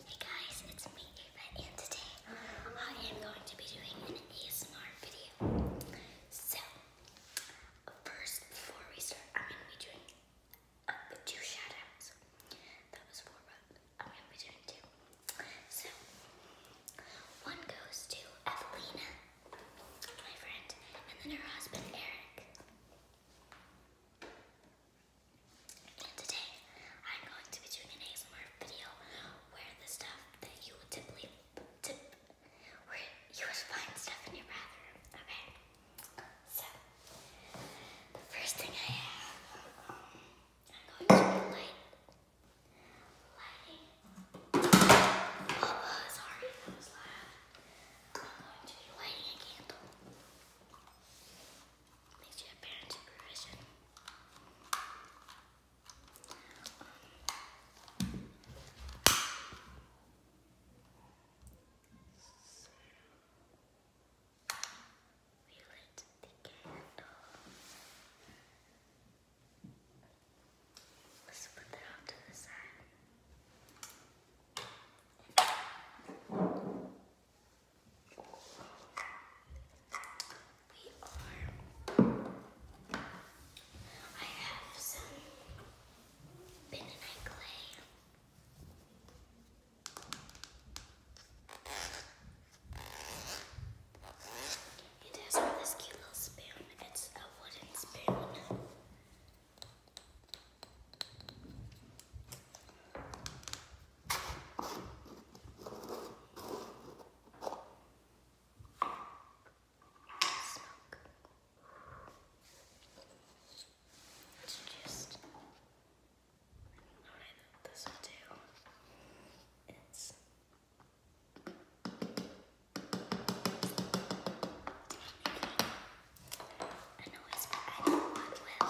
Hey guys, it's me Ava and today I am going to be doing an ASMR video. So first before we start I'm gonna be doing two shoutouts. That was four but I'm gonna be doing two. So one goes to Evelina, my friend, and then her husband Eric today, I'm going to be doing an ASMR video where the stuff that you would typically, tip, where you would find stuff in your bathroom, okay? So, the first thing I have, um, I'm going to be light, lighting, oh, sorry, that was loud. I'm going to be lighting a candle. Makes you we lit the candle. Let's put that off to the side. I have some bentonite clay. It has this cute little spoon. It's a wooden spoon. Smoke. Let's just I know this will do. It's a noise that I don't want with.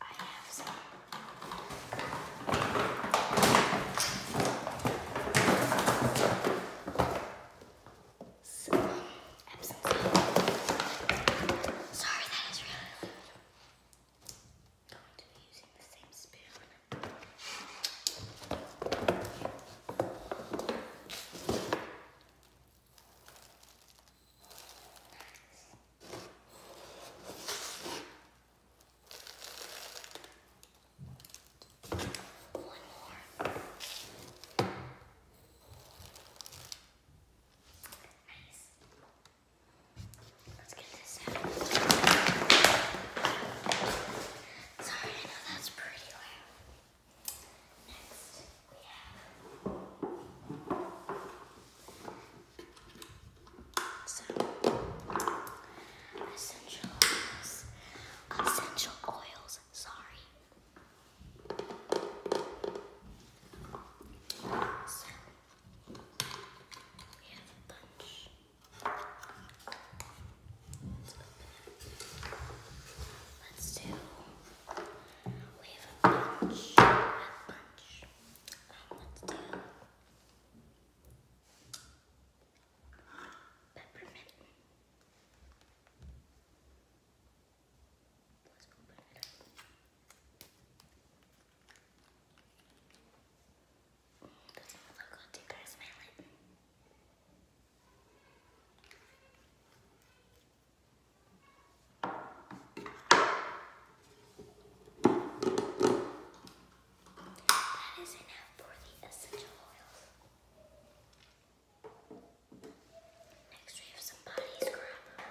I have some. So, I'm so sorry. Sorry, that is really loud going to be using the same spoon. Nice. One more. Nice. Let's get this out. Sorry, I know that's pretty loud. Next, we have essential oils. Essential oils, sorry. So, we have a bunch. Let's do. We have a bunch. a bunch. let's do peppermint let you That is enough for the essential oils. Next we have some body scrub.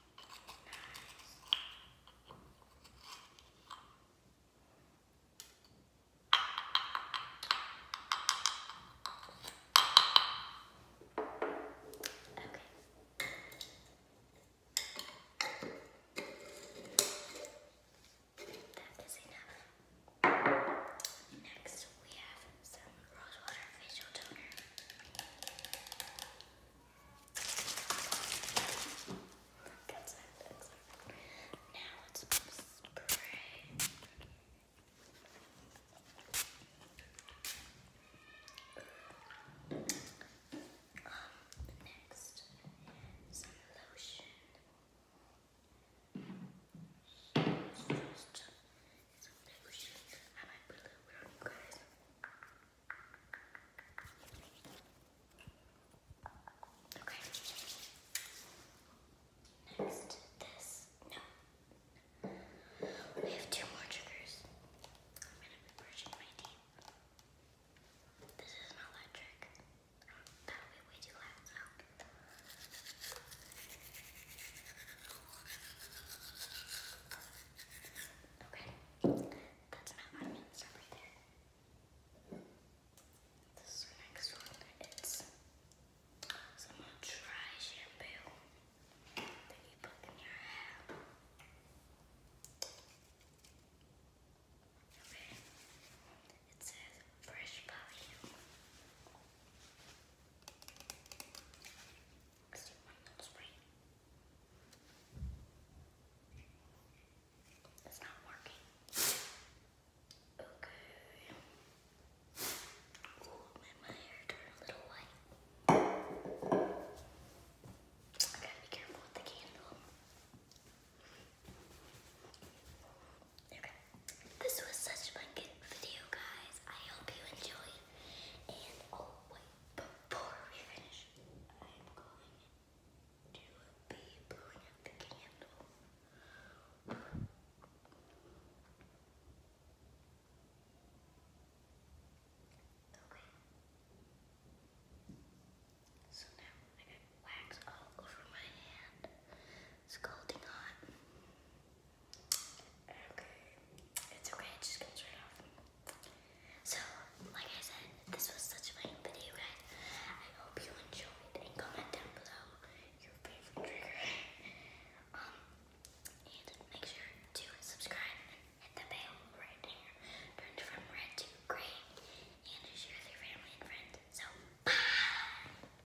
That is enough. Next, we have some rose water facial toner. That's it, Now let's spray. next, some lotion. I you Next, this. No. We have two more triggers. I'm gonna be brushing my teeth. This is not electric. That would be way too loud Okay, that's an adamant right there. next one. It's some dry shampoo that you put in your hair. Okay, it says fresh value. Let's It's not working. Okay. Ooh, made my hair turn a little white. I be careful with the candle. Okay. This was such a fun video, guys. I hope you enjoyed. And oh wait, before we finish, I'm going to be blowing out the candle. Okay. So now I got wax all over my hand. Scalding hot. Okay. It's okay, it just comes right off. So, like I said, this was such a fun video, I hope you enjoyed and comment down below your favorite trigger. um, and make sure to subscribe hit the bell right there. Turned from red to gray. And share with your family and friends. So, bye!